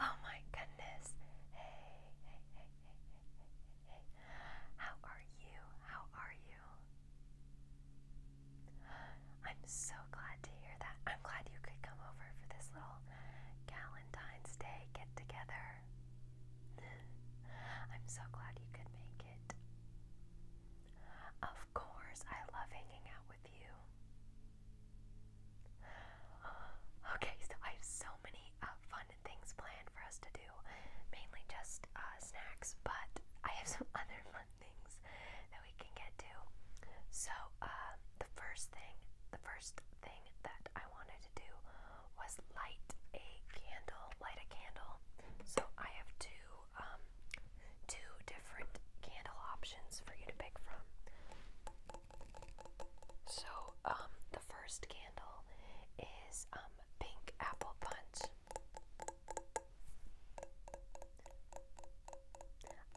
Oh my goodness. Hey, How are you? How are you? I'm so glad to hear that. I'm glad you could come over for this little Valentine's Day get together. I'm so glad you could make it. Of course, I love hanging out with you. Okay, so I have so many uh, fun things planned for us to do, mainly just uh, snacks, but I have some other fun things that we can get to. So, uh, the first thing, the first thing that I wanted to do was light a candle, light a candle. So I have two, um, two different candle options for you to pick from. So, um, the first candle is um, pink apple punch.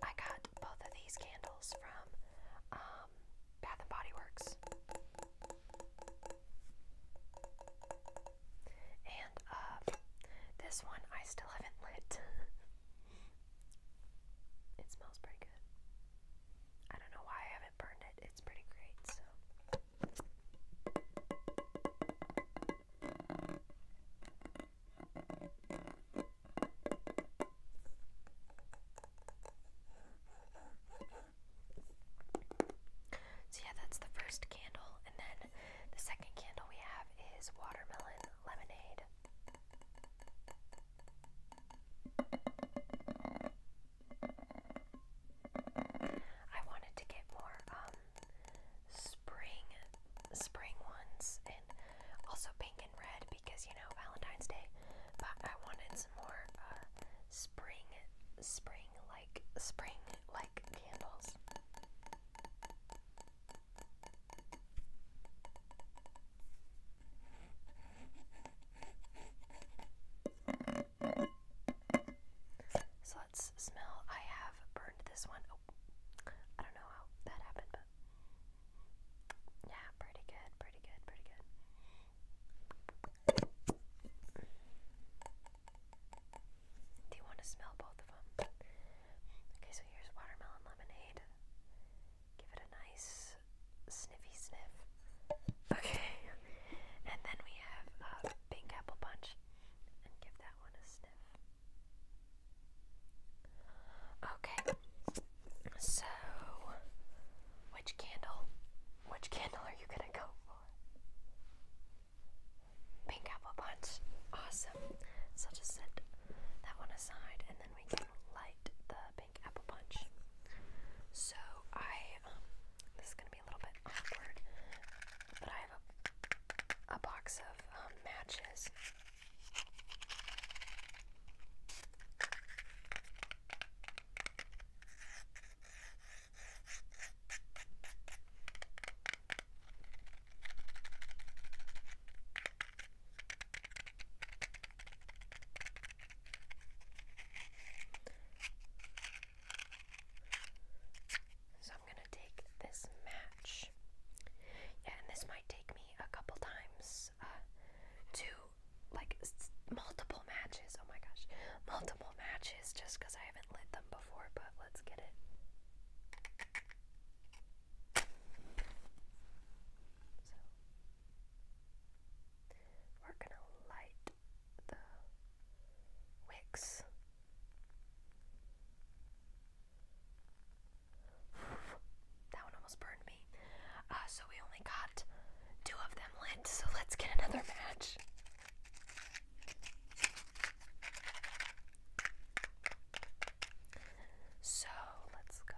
I got both of these candles from um, Bath and Body Works. And uh, this one I still haven't lit. It smells pretty good. I don't know why I haven't burned it. It's pretty great, so. yeah, that's the first candle, and then the second candle we have is watermelon lemonade. I wanted to get more um spring spring ones and also pink and red because you know Valentine's Day but I wanted some more uh, spring spring like spring like candles so let's smell. I have burned this one. Oh, I don't know how that happened, but yeah, pretty good, pretty good, pretty good. Do you want to smell both of them? Okay, so here's watermelon lemonade. Give it a nice sniffy sniff. Okay. And then we have a pink apple punch. And give that one a sniff. Okay. So, which candle? Which candle are you gonna go for? Pink apple punch. Awesome. So just set that one aside, and then we can light the apple punch. So I, um, this is gonna be a little bit awkward, but I have a, box of um, matches. So I'm going to take this match. Yeah, and this might take me a couple times uh, to like multiple matches. Oh my gosh, multiple matches just because I haven't lit them before, but let's get it. We're going to light the wicks. that one almost burned me. Uh, so we only got two of them lit, so let's get another match. So let's go.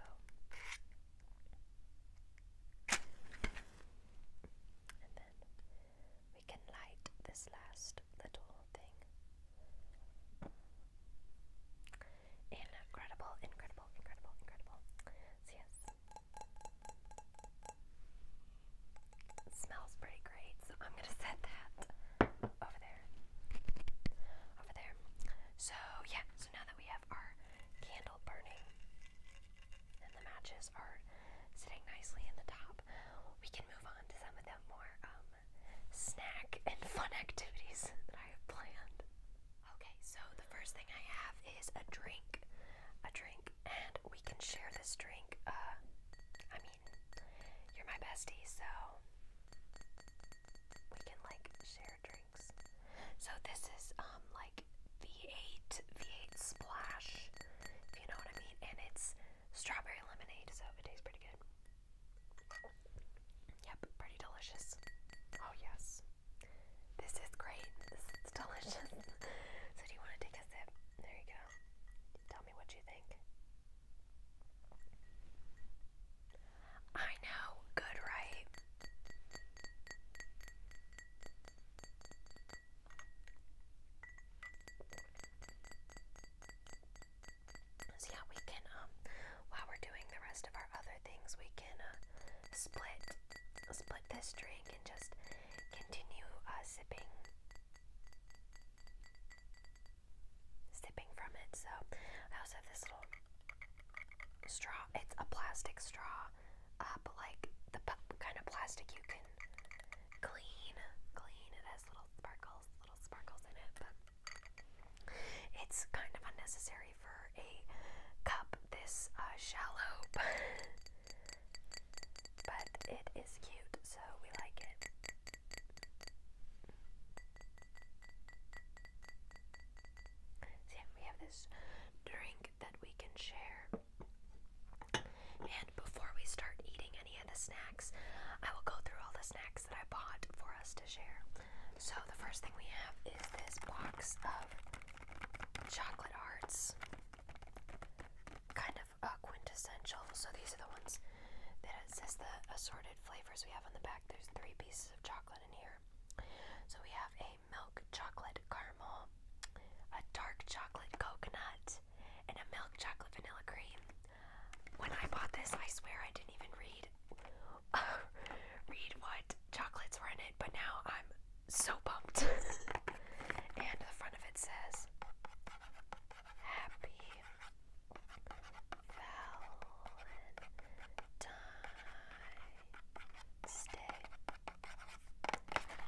And then we can light this last little thing. Incredible, incredible, incredible, incredible. So yes. smells pretty great, so I'm gonna set that over there. Over there. So yeah, so now that we have our candle burning and the matches are sitting nicely in the top, we can move on to some of the more um, snack and fun activities that I have planned. Okay, so the first thing I have is a drink. A drink, and we can share this drink. Uh, I mean, you're my bestie, so we can like share drinks. So this is um like V8 V8 splash, if you know what I mean, and it's strawberry lemonade, so it tastes pretty good. Yep, pretty delicious. Oh yes. This is great. This is delicious. so do you want to take a sip? There you go. Tell me what you think. I know, good, right? So yeah, we can um while we're doing the rest of our other things, we can uh, split split this drink and just continue uh, sipping sipping from it. So I also have this little straw. It's a plastic straw, uh, like the kind of plastic you can clean. Clean. It has little sparkles, little sparkles in it, but it's kind of unnecessary for a cup this uh, shallow. but it is cute, so we like it. See, we have this drink that we can share. And before we start eating any of the snacks, I will go through all the snacks that I bought for us to share. So, the first thing we have is this box of chocolate hearts. Kind of quintessential. So, these are the ones that it says the assorted flavors we have on the back. There's three pieces of chocolate in here. So we have a milk chocolate caramel, a dark chocolate coconut, and a milk chocolate vanilla cream. When I bought this, I swear I didn't even read read what chocolates were in it, but now I'm so pumped. and the front of it says Happy Valentine.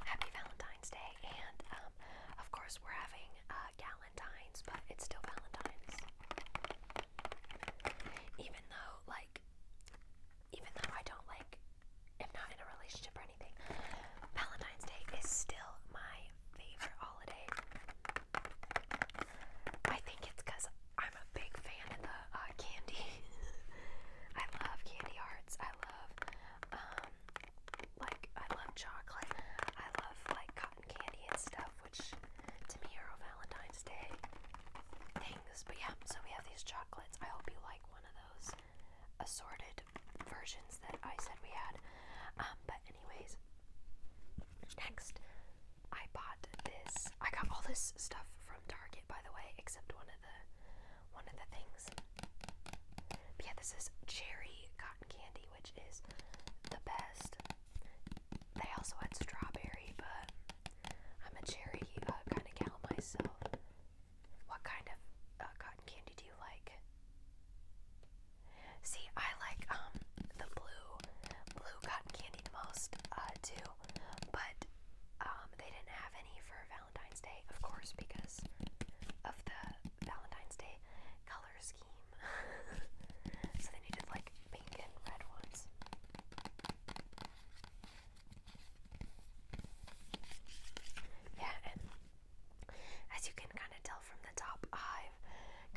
Happy Valentine's Day, and um, of course we're having uh, Galentine's, but it's still Valentine's. Even though, like, even though I don't like, am not in a relationship or anything, Valentine's Day is still my favorite holiday. I think it's because I'm a big fan of the uh, candy. I love candy hearts. I love um like I love chocolate. I love like cotton candy and stuff, which to me are all Valentine's Day things. But yeah, so we have these chocolates. I hope you like one of those assorted versions that I said we had. Um, but anyways, next I bought this. I got all this stuff from from Target, by the way, except one of the one of the things. But yeah, this is cherry cotton candy, which is the best. They also had strawberry, but I'm a cherry uh, kind of gal myself. What kind of uh, cotton candy do you like? See, I like um the blue blue cotton candy most, do, uh, But um, they didn't have any for Valentine's Day, of course, because of the Valentine's Day color scheme. so they needed like pink and red ones. Yeah, and as you can kind of tell from the top, I've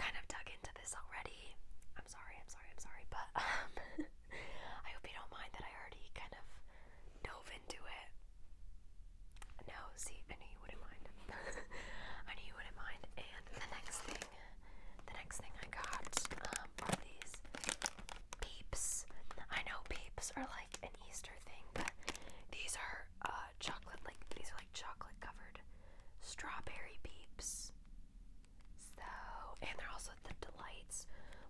kind of dug into this already. I'm sorry, I'm sorry, I'm sorry, but um, I hope you don't mind that I already kind of dove into it. No, see, I knew you wouldn't mind. I knew you wouldn't mind. And the next thing, the next thing I got um, are these peeps. I know peeps are like an Easter thing, but these are uh, chocolate, like these are like chocolate covered strawberry peeps. So, and they're also the delights,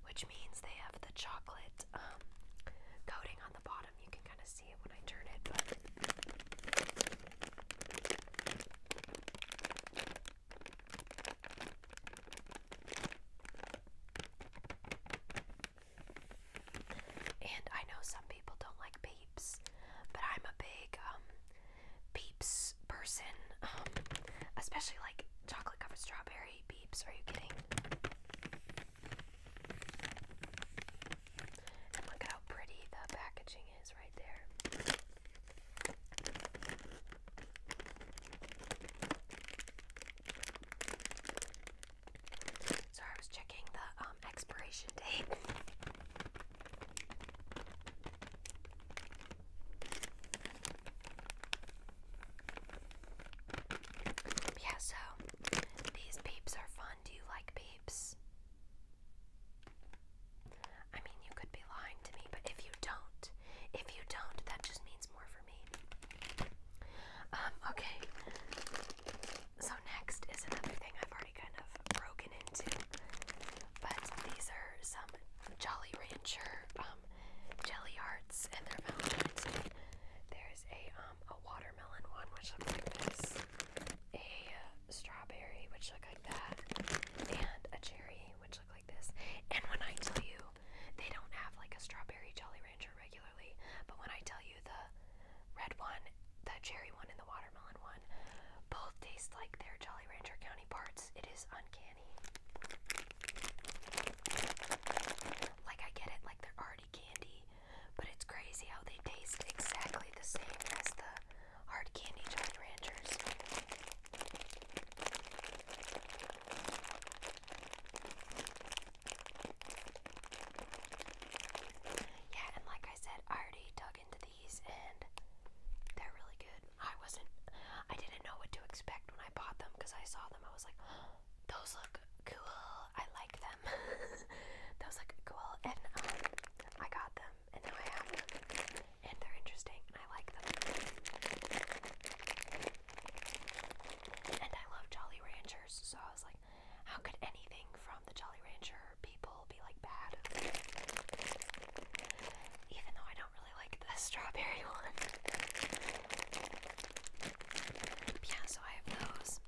which means they have the chocolate um, coating on the bottom. You can kind of see it when I turn it, and I know some people don't like peeps, but I'm a big um, Peeps person, um, especially like chocolate covered strawberry Peeps. Are you kidding? look at how pretty the packaging is right there. Sorry, I was checking the um, expiration date. Yeah, so these peeps are fun. Do you like peeps? I mean, you could be lying to me, but if you don't, if you don't, that just means more for me. Um, okay. So next is another thing I've already kind of broken into, but these are some Jolly Rancher um, um, jelly hearts, and they Valentine's There's a um, a watermelon one, which looks like this, a uh, strawberry, which looks like that, and a cherry, which looks like this. And when I tell you, they don't have like a strawberry Jolly Rancher regularly, but when I tell you the red one, the cherry one, and the watermelon one, both taste like their Jolly Rancher county parts. It is uncanny. Like, I get it, like, they're already candy, but it's crazy how they taste exactly the same as the hard candy Jolly Ranchers. Yeah, and like I said, I already dug into these and they're really good. I wasn't I didn't know what to expect when I bought them because I saw them I was like those look cool I like them those look cool and um, I got them and now I have them and they're interesting I like them and I love Jolly Ranchers so I was like how could anything from the Jolly Rancher people be like bad even though I don't like the strawberry one. Yeah, so I have those.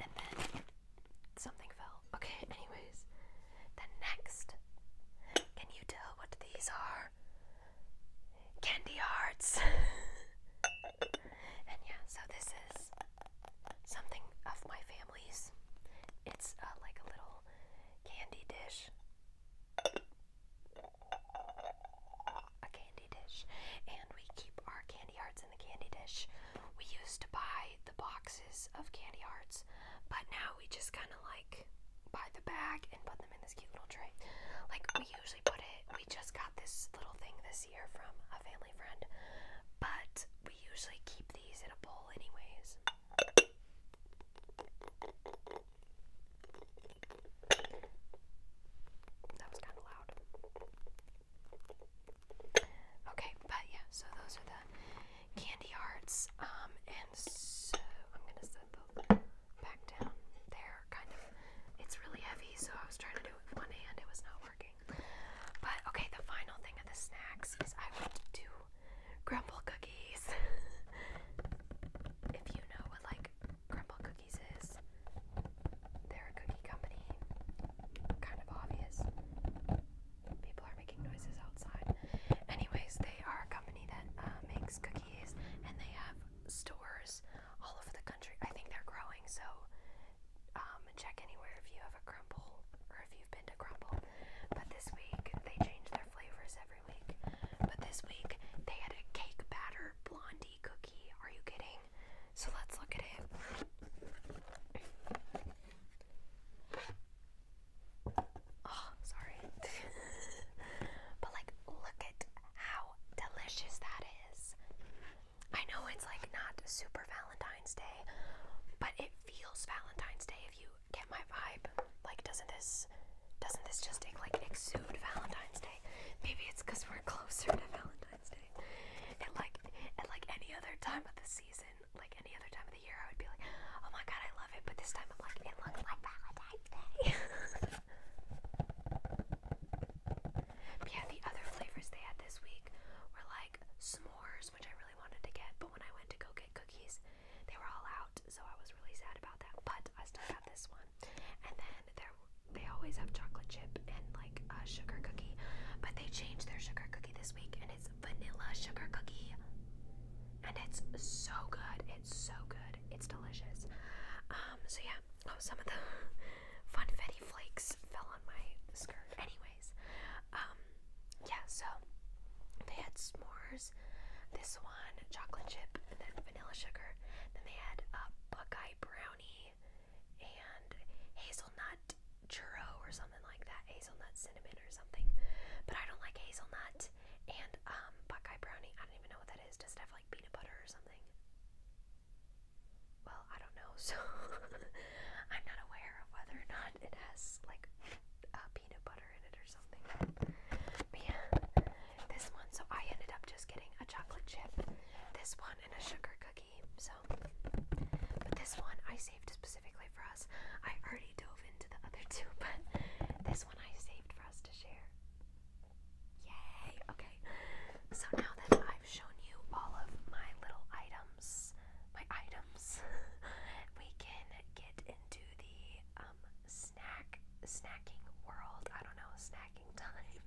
And then something fell. Okay, anyways. Then next, can you tell what these are? Candy hearts. and yeah, so this is something of my family's. It's uh, like a little candy dish a candy dish and we keep our candy hearts in the candy dish. We used to buy the boxes of candy hearts, but now we just kind of like buy the bag and put them in this cute little tray. Like we usually put it, we just got this little thing this year from a family friend, but we usually keep these in a bowl, anyways. That was kind of loud. Okay, but yeah, so those are the candy hearts. Um, and so I'm gonna set the back down there, kind of. It's really heavy, so I was trying to do it with one hand, it was not working. But okay, the final thing of the snacks is I want to do crumble cookies. if you know what like crumble cookies is, they're a cookie company. Kind of obvious. People are making noises outside. Anyways, they are a company that uh, makes cookies and they have stores all over the country. I think they're growing, so um, check anywhere if you have a crumble or if you've been to crumble. But this week they change their flavors every but this week they had a cake batter blondie cookie. Are you kidding? So let's look at it. Oh, sorry. but like look at how delicious that is. I know it's like not super Valentine's Day, but it feels Valentine's Day if you get my vibe? Like, doesn't this doesn't this just take like exude Valentine's Day? Maybe it's because we're closer to Valentine's Day. And like and like any other time of the season, like any other time of the year, I would be like, oh my god, I love it. But this time, I'm like, it looks like Valentine's Day. but yeah, the other flavors they had this week were like s'mores, which I really wanted to get, but when I went to go get cookies, they were all out so I was really sad about that. But I still got this one. And then they always have chocolate chip and like a sugar cookie, but they changed their sugar cookie this week, and it's vanilla sugar cookie, and it's so good. It's so good. It's delicious. Um, so yeah. Oh, some of the funfetti flakes fell on my skirt. Anyways, um, yeah. So they had s'mores this one, chocolate chip, and then vanilla sugar. Then they had a Buckeye brownie and hazelnut churro or something like that. Hazelnut cinnamon or something. But I don't like hazelnut and um, Buckeye brownie. I don't even know what that is. Does it have like peanut butter or something? Well, I don't know, so I'm not aware of whether or not it has like uh, peanut butter yeah, this one, so I ended up just getting a chocolate chip, this one, and a sugar cookie. So, but this one I saved specifically for us. I already dove into the other two, but this one I saved for us to share. Yay! Okay, so now that I've shown you all of my little items, my items, we can get into the um, snack snacking world. I don't know, snacking time.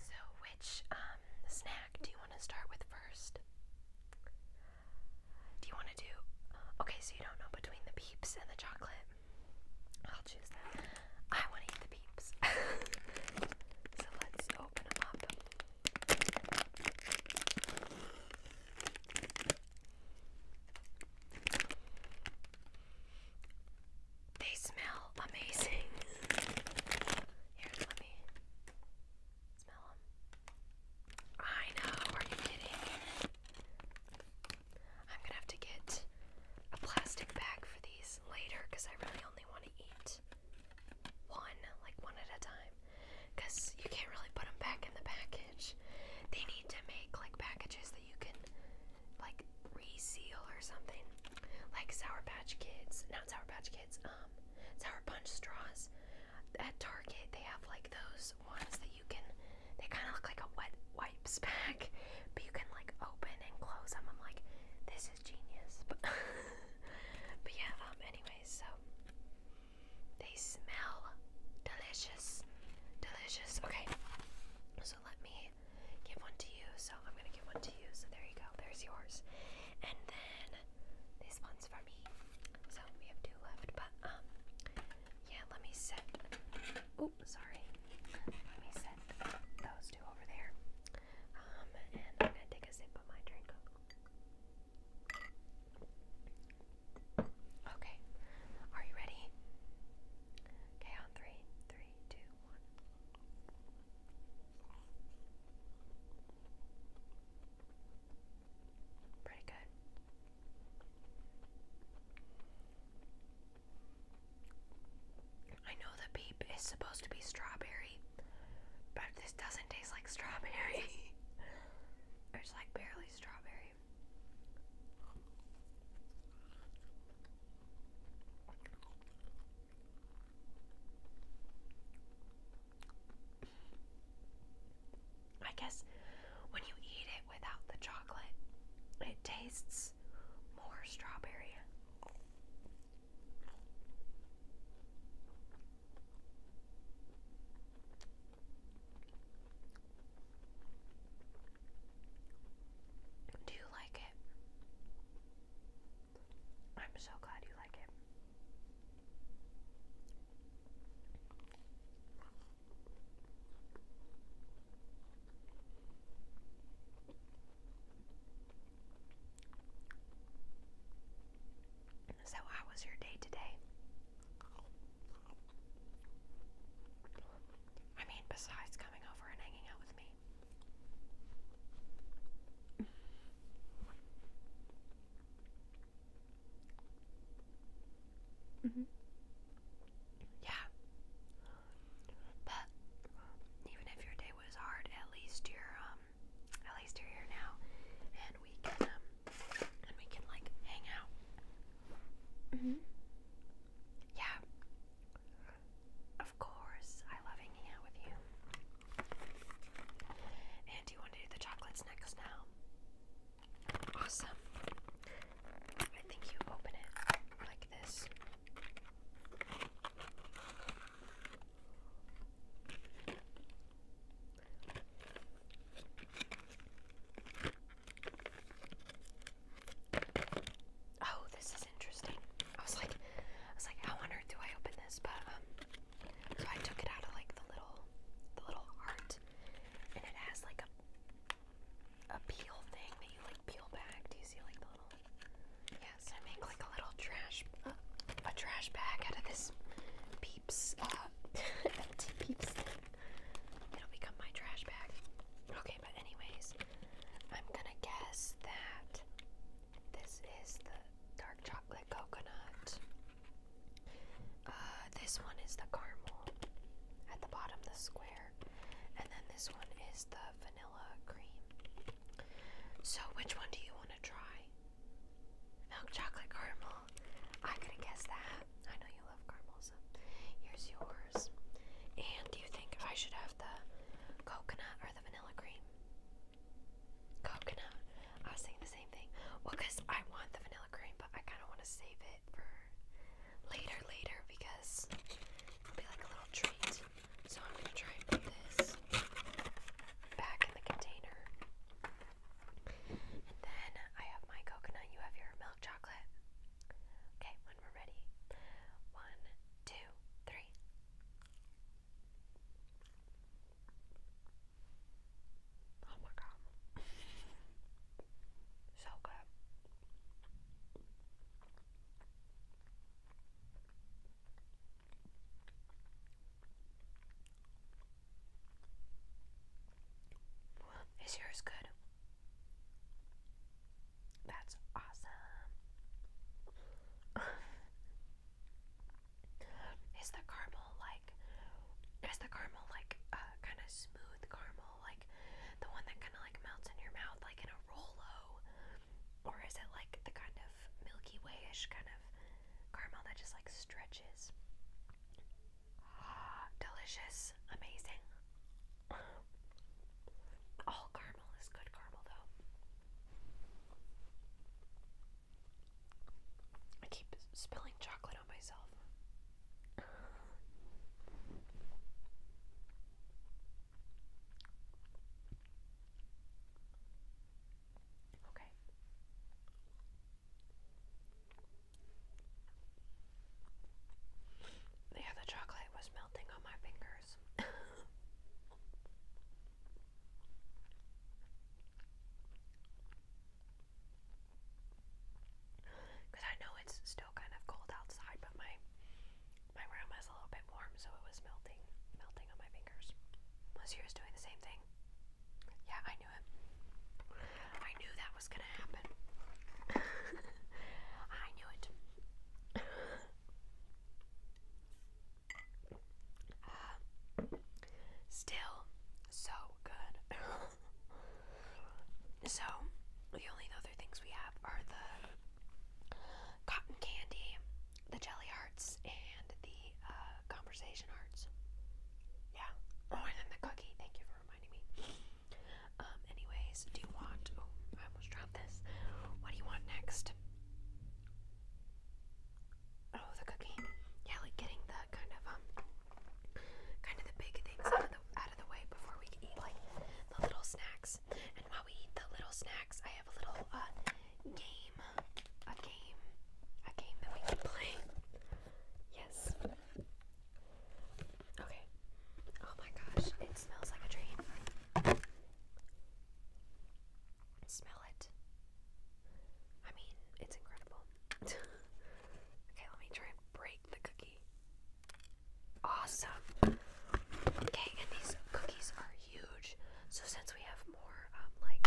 so which um snack do you want to start with first? Do you want to do Okay, so you don't know between the peeps and the chocolate. I'll choose that. I want to eat the peeps. so let's open them up. They smell amazing. Here, let me smell them. I know, are you kidding? I'm gonna have to get a plastic bag for these later because I really only want to eat one, like one at a time. Because you can't really put them back in the package. They need to make like packages that you can like reseal or something. Like Sour Patch Kids, not Sour Patch Kids, um, Sour Punch straws. At Target, they have like those ones that you can, they kind of look like a wet wipes pack, but you can like open and close them. I'm like, this is genius. But, but yeah, um, anyways, so they smell delicious. Delicious. Okay. So let me give one to you. So I'm gonna give one to you. So there you go. There's yours. And then this one's for me. So we have two left. But um yeah, let me set Oh, sorry. Let me set those two over there. Um and I'm gonna take a sip of my drink. Okay, are you ready? Okay, on three, three, two, one. Pretty good. I know the beep is supposed to be strawberry, but this doesn't taste like strawberry. it's like barely strawberry. I guess when you eat it without the chocolate, it tastes more strawberry. Do you like it? I'm so glad you like it. So, how was your day today? I mean, besides coming over and hanging out with me. hmm Yeah. But even if your day was hard, at least you're um at least you're here now and we can um and we can like hang out. hmm yeah. Of course. I love hanging out with you. And do you want to do the chocolates next now? Awesome. I think you open it like this. Oh, this is interesting. I was like, I was like, how on earth do I open this? But um, so I took it out of like the little, the little heart, and it has like a, a peel thing that you like peel back. Do you see like the little? Yes, I make like a little trash, a trash bag out of this peeps, uh, empty peeps thing. It'll become my trash bag. Okay, but anyways, I'm gonna guess that this is the dark chocolate coconut. Uh, this one is the caramel at the bottom, the square, and then this one is the vanilla cream. So, which one do you want to try? Milk chocolate caramel. I am gonna guess that. I know you love caramels. Here's yours. And do you think I should have the coconut or the vanilla cream? Coconut. I was saying the same thing. Well, because I want the vanilla cream, but I kind of want to save it for later, later, because it'll be like a little treat. So I'm going to try and put this back in the container. And then I have my coconut, you have your milk chocolate. Okay, we're ready. One, two, three. Oh my god. so good. Is yours good? That's awesome. is the caramel like is the caramel like uh kind of smooth caramel like the one that kind of like melts in your mouth like in a Rolo? Or is it like the kind of Milky way kind of caramel that just like stretches? Delicious, amazing. All caramel is good caramel, though. I keep spilling chocolate on myself. Okay. Yeah, the chocolate was melting on my fingers. Because I know it's still kind of cold outside, but my my room is a little bit warm, so it was melting, melting on my fingers. Unless you doing the same thing. Yeah, I knew it. I knew that that was gonna happen. I knew it. Uh, still so good. so, the only other things we have are the cotton candy, the jelly hearts, and the uh, conversation hearts. Yeah. Oh, and then the cookie. Thank you for reminding me. Um, anyways, do you want. Oh, I almost dropped this. What do you want next? Oh, the cookie. Yeah, like getting the kind of, um, kind of the big things out of the, way before we eat, like, the little snacks. And while we eat the little snacks, I have a little, uh, game. A game. A game that we can play. Yes. Okay. Oh my gosh, it smells like a dream. Smell it. I mean, it's incredible. okay, let me try and break the cookie. Awesome. Okay, and these cookies are huge. So since we have more um like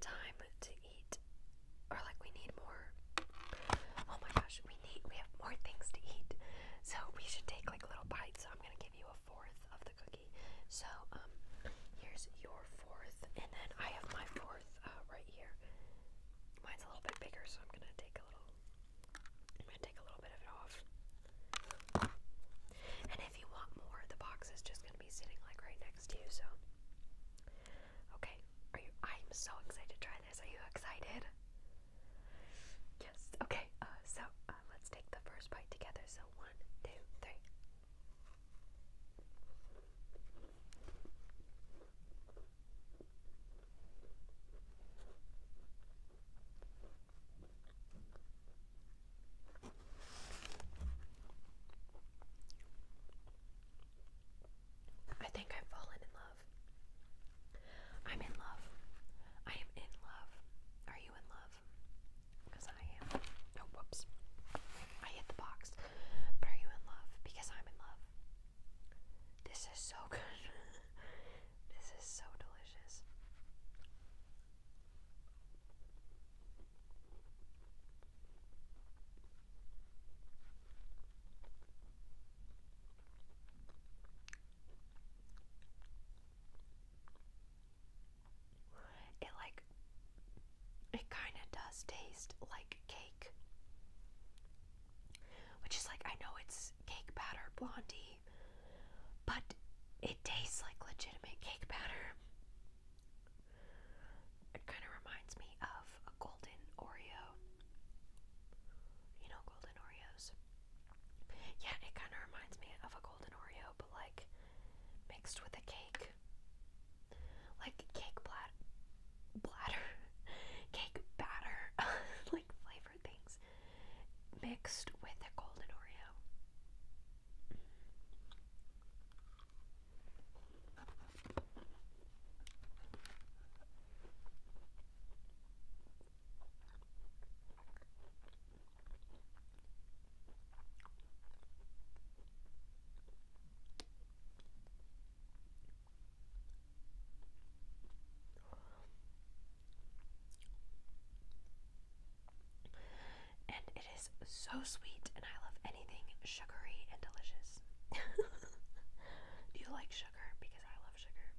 time to eat or like we need more. Oh my gosh, we have more things to eat. So we should take like little bites. So I'm gonna give you a fourth of the cookie. So um here's your fourth and then I have my fourth uh, right here. Mine's a little bit bigger, so I'm gonna take a little I'm gonna take a little bit of it off. And if you want more, the box is just gonna be sitting like right next to you, so okay. Are you I'm so excited to try this. Are you excited? Yes. Okay. Uh, so uh, let's take the first bite together. So one, two, three. I think I've fallen in love. I'm in love. I am in love. Are you in love? Because I am. oh, whoops. I hit the box. But are you in love? Because I'm in love. This is so good. this is so delicious. It like it kind of does taste like cake. Which is like I know it's cake batter blondie, but it tastes like legitimate cake batter. It kind of reminds me of golden Oreo. You know, golden Oreos. Yeah, it kind of reminds me of a golden Oreo, but like mixed with a cake. Like cake blat bladder, cake batter, like flavored things mixed with a golden Oreo. And it is so sweet, and I love anything sugary and delicious. Do you like sugar? Because I love sugar.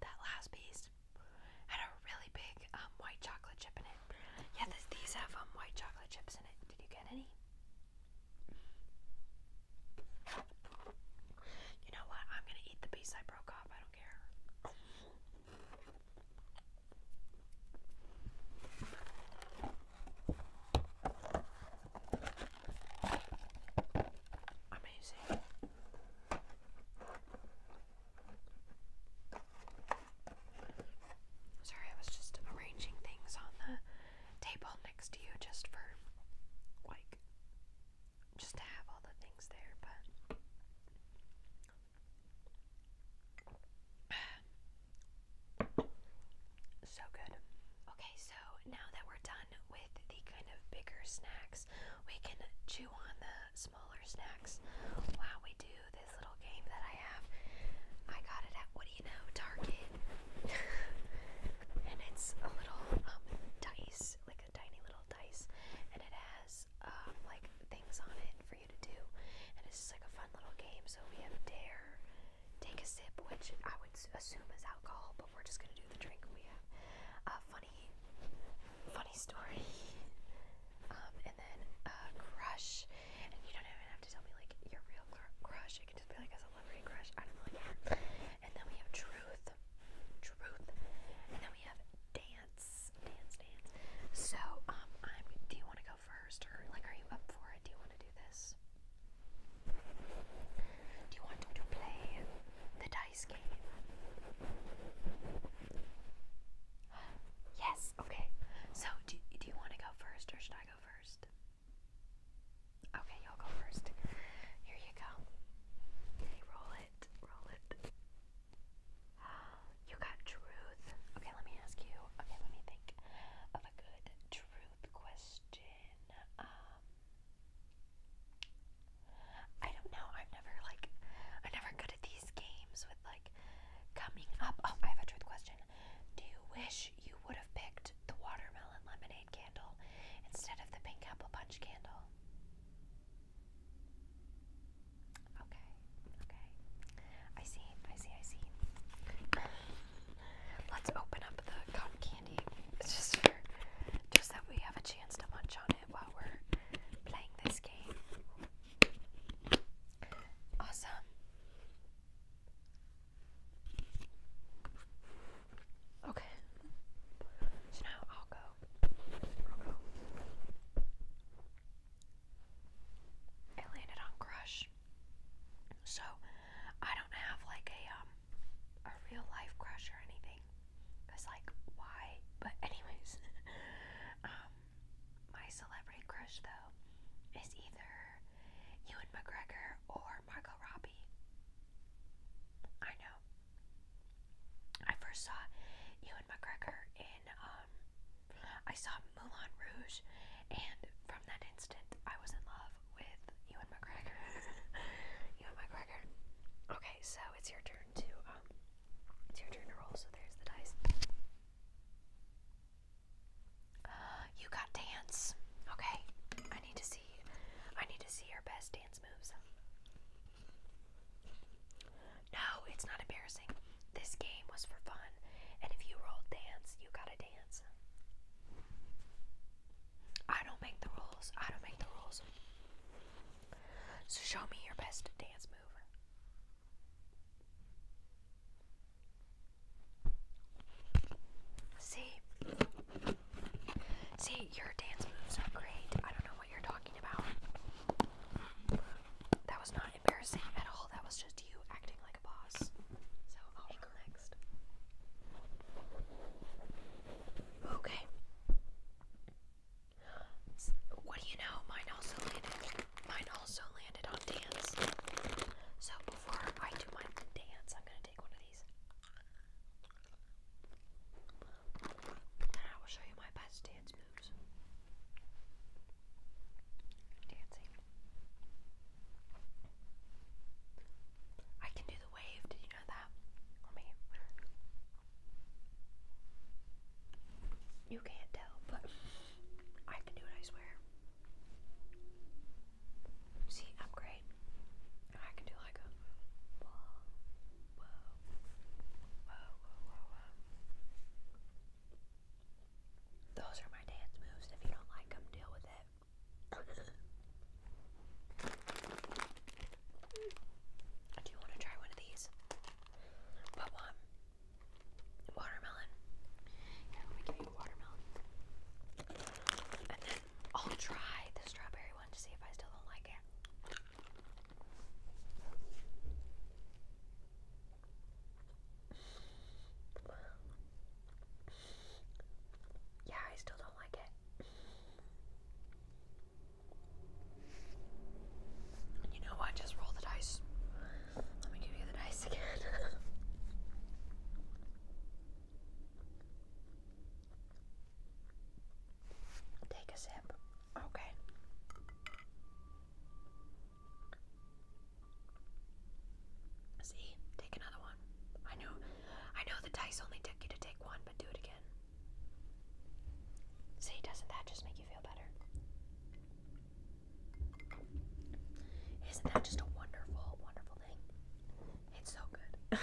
That last piece had a really big um, white chocolate chip in it. Yeah, these have um, white chocolate chips in it. Did you get any? You know what? I'm gonna eat the piece I broke off. I don't care. Amazing. Sorry, I was just arranging things on the table next to you just for like just to have all the things there, but so good. Okay, so now that we're done with the kind of bigger snacks, we can chew on the smaller snacks while we do this little game that I have. I got it at, what do you know, Target. and it's a little um, dice, like a tiny little dice, and it has um, like things on it for you to do. And it's just like a fun little game. So we have dare, take a sip, which I would assume is alcohol, but we're just gonna do the drink we have. a funny, funny story. Um, and then a crush, and you don't even have to tell me like your real crush. It can just be like a celebrity crush. I don't really care. And then we have truth, truth, and then we have dance, dance, dance. So um, I'm. Do you want to go first, or like, are you up for it? Do you want to do this? Do you want to play the dice game? Yes. Okay. So, do do you want to go first, or should I go first? Okay, you'll go first. Here you go. Okay, roll it. Roll it. You got truth. Okay, let me ask you. Okay, let me think of a good truth question. Um, I don't know. I'm never like I'm never good at these games with like coming up. Oh, I have a truth question. Do you wish you would have picked the watermelon lemonade candle instead of the pink apple punch candle? Okay. Okay. I see, I see, I see. Let's open up the cotton candy. It's just for, just that we have a chance to munch on it while we're playing this game. Awesome. Okay. So now I'll go. i landed on Crush. So I don't have like a um a real life crush or anything. Cause like why? But anyways, um my celebrity crush though is either Ewan McGregor or Margot Robbie. I know. I first saw Ewan McGregor in um I saw Moulin Rouge and from that instant, I was in love with Ewan McGregor. Ewan McGregor. Okay, so it's your turn to um, it's your turn to roll. So there's the dice. you got dance. Okay, I need to see. I need to see your best dance moves. No, it's not embarrassing. This game was for fun, and if you rolled dance, you got a dance. I don't make the rules. I don't make the rules. So show me your best dance move. See? See, your dance moves are great. I don't know what you're talking about. That was not embarrassing at all. That was just you acting like i Okay. What do you know? Mine also landed. Mine also landed on dance. So before I do my dance, I'm gonna take one of these. And I will show you my best dance moves. Dancing. I can do the wave, did you know that? You can't tell, but I can do it, I swear. See, I'm great. I can do like Those are my dance moves. If you don't like them, deal with it. I do want to try one of these. What one? Watermelon. Yeah, let me give you a watermelon. And then I'll try the strawberry one to see if I still don't like it. Yeah, I still don't like it. you know what? Just roll the dice. Let me give you the dice again. Take a sip. Okay. See, take another one. I know, I know the dice only took you to take one, but do it again. See, doesn't that just make you feel better? Isn't that just a wonderful, wonderful thing? It's so good.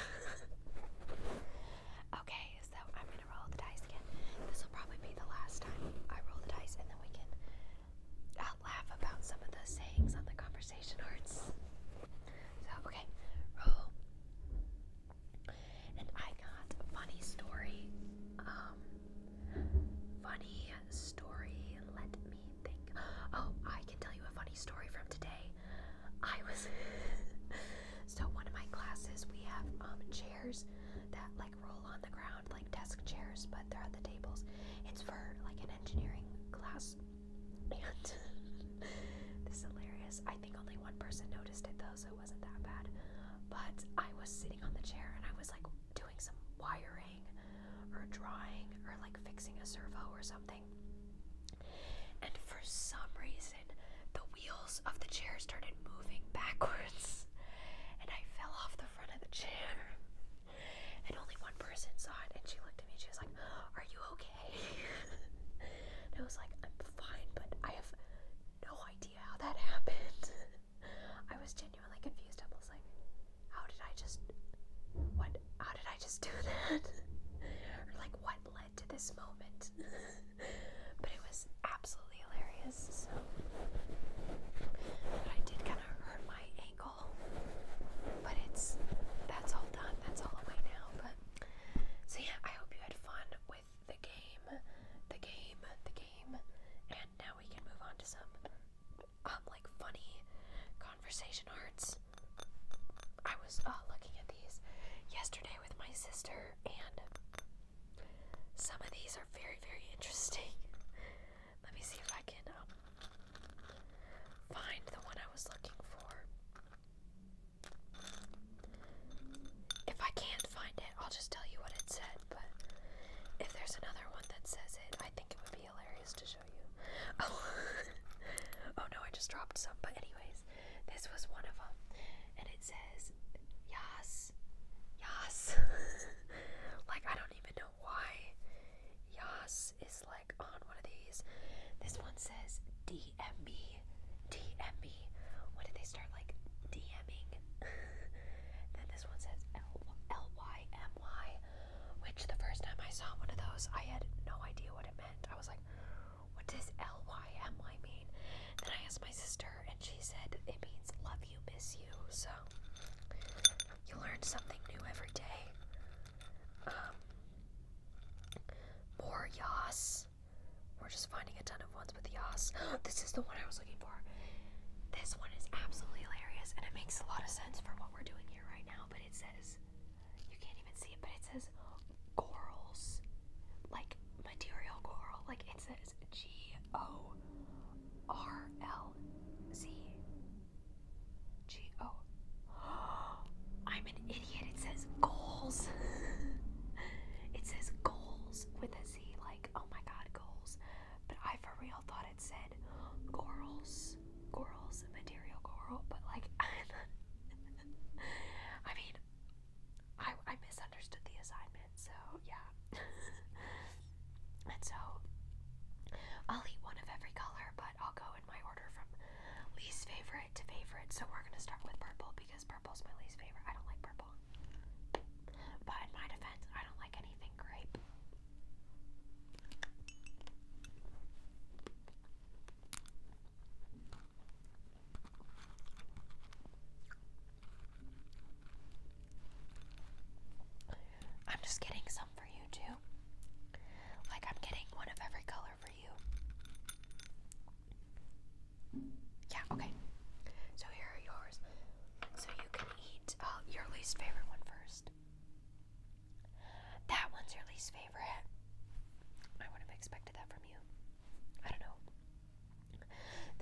okay, so I'm gonna roll the dice again. This will probably be the last time I roll the dice, and then we can I'll laugh about some of the sayings on the conversation arts. So, okay, roll. And I got funny story. Um, funny story. Let me think. Oh, I can tell you a funny story from today. I was so one of my classes we have um chairs that like roll on the ground like desk chairs, but they're at the tables. It's for like an engineering class and this is hilarious. I think only one person noticed it though, so it wasn't that bad. But I was sitting on the chair and I was like doing some wiring or drawing or like fixing a servo or something. And for some reason, the wheels of the chair started moving backwards and I fell off the front of the chair and only one person saw it and she looked at me and she was like are you okay and I was like I'm fine but I have no idea how that happened I was genuinely confused I was like how did I just what how did I just do that or like what led to this moment but it was absolutely hilarious so I did kind of hurt my ankle but it's that's all done. That's all away now. But so yeah, I hope you had fun with the game, the game, the game, and now we can move on to some um, like funny conversation arts. I was uh, looking at these yesterday with my sister, and some of these are very, very interesting. Let me see if I can um, find the one I was looking for. If I can't find it, I'll just tell you what it said, but if there's another one that says it, I think it would be hilarious to show you. Oh, oh no, I just dropped some, but anyways, this was one of them, and it says, Yas, Yas. like, I don't even know why Yas like on one of these. This one says DM me, When did they start like DMing? then this one says L L Y M Y, which the first time I saw one of those, I had no idea what it meant. I was like, what does L Y M Y mean? Then I asked my sister, and she said it means love you, miss you. So you learn something new every day. Um, more Yas. We're just finding a ton of ones with the Yas. this is the one I was looking for. This one is absolutely hilarious, and it makes a lot of sense for what we're doing here right now. But it says, you can't even see it, but it says corals, like material coral. Like it says G O R L Z G O. I'm an idiot. It says goals. it says goals with a Z. Like, oh my god, goals. But I for real thought it said corals. Corals, material coral. But like, I mean, I, I misunderstood the assignment. So, yeah. and so, I'll eat one of every color, but I'll go in my order from least favorite to favorite. So we're gonna start with purple because purple's my least favorite. I don't like purple. But in my defense, I don't like anything grape. I'm just getting some you too. Like I'm getting one of every color for you. Yeah, okay. So here are yours. So you can eat uh, your least favorite one first. That one's your least favorite. I would have expected that from you. I don't know.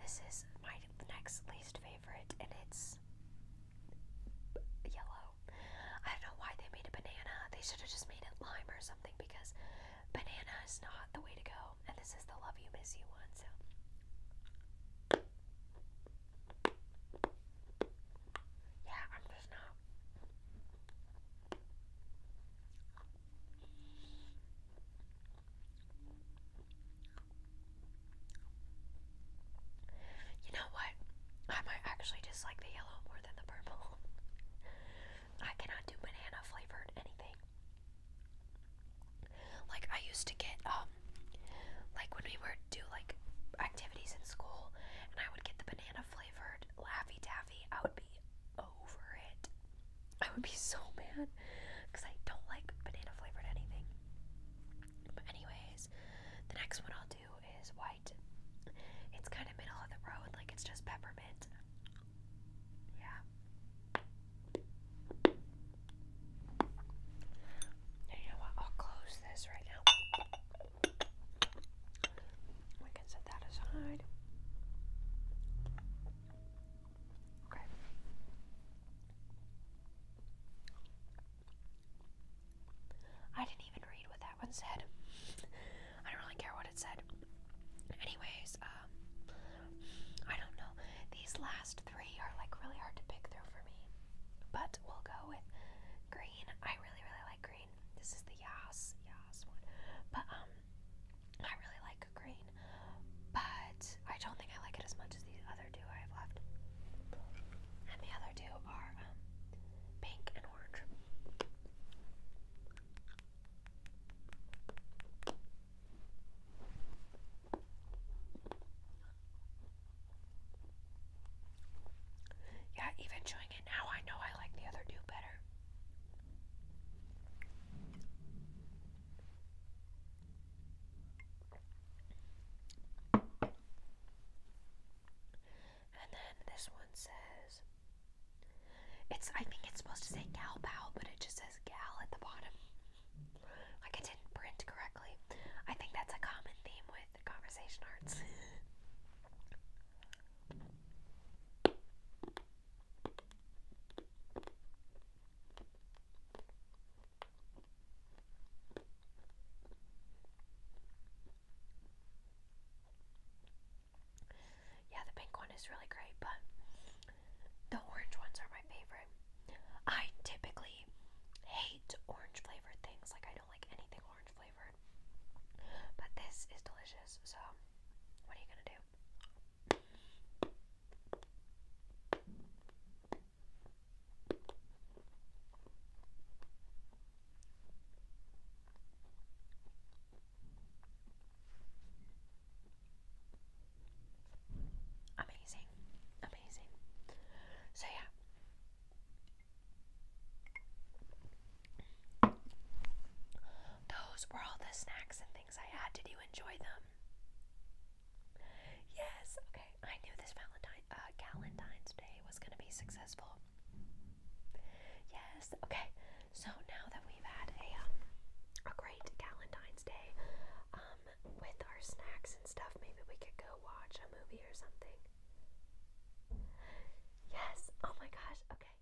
This is my next least favorite, and it's yellow. I don't know why they made a banana. They should have just made it lime or something because banana is not the way to go. And this is the love you, miss you one. So. Yeah, I'm just not. You know what? I might actually dislike the yellow more than the purple. I cannot do banana flavored anything. Like I used to get um like when we were do like activities in school and I would get the banana flavored Laffy Taffy, I would be over it. I would be so mad because I don't like banana flavored anything. But anyways, the next one I'll do is white. It's kind of middle of the road, like it's just peppermint. Yeah. you know what? I'll close this right now. We can set that aside. Okay. I didn't even read what that one said. I don't really care what it said. Anyways, um, I don't know. These last three are like really hard to pick through for me. But we'll go with green. I really, really like green. This is the Yas, Yas one. But, um, I really like green. But I don't think I like it as much as the other two I have left. And the other two are, um, pink and orange. Yeah, even chewing it now, I know I like the other two better. And then this one says, it's, I think it's supposed to say gal pal, but it just says gal at the bottom. Like it didn't print correctly. I think that's a common theme with conversation arts. Yeah, the pink one is really great, but the orange ones are my favorite. I typically hate orange flavored things, like, I don't like anything orange flavored. But this is delicious, so what are you gonna do? Amazing, amazing. So, yeah. Those were all the snacks and things I had. Did you enjoy them? Yes. Okay. I knew this Valentine's uh, Day was going to be successful. Yes, okay. So now that we've had a, um, a great Valentine's Day um, with our snacks and stuff, maybe we could go watch a movie or something. Yes, oh my gosh, okay.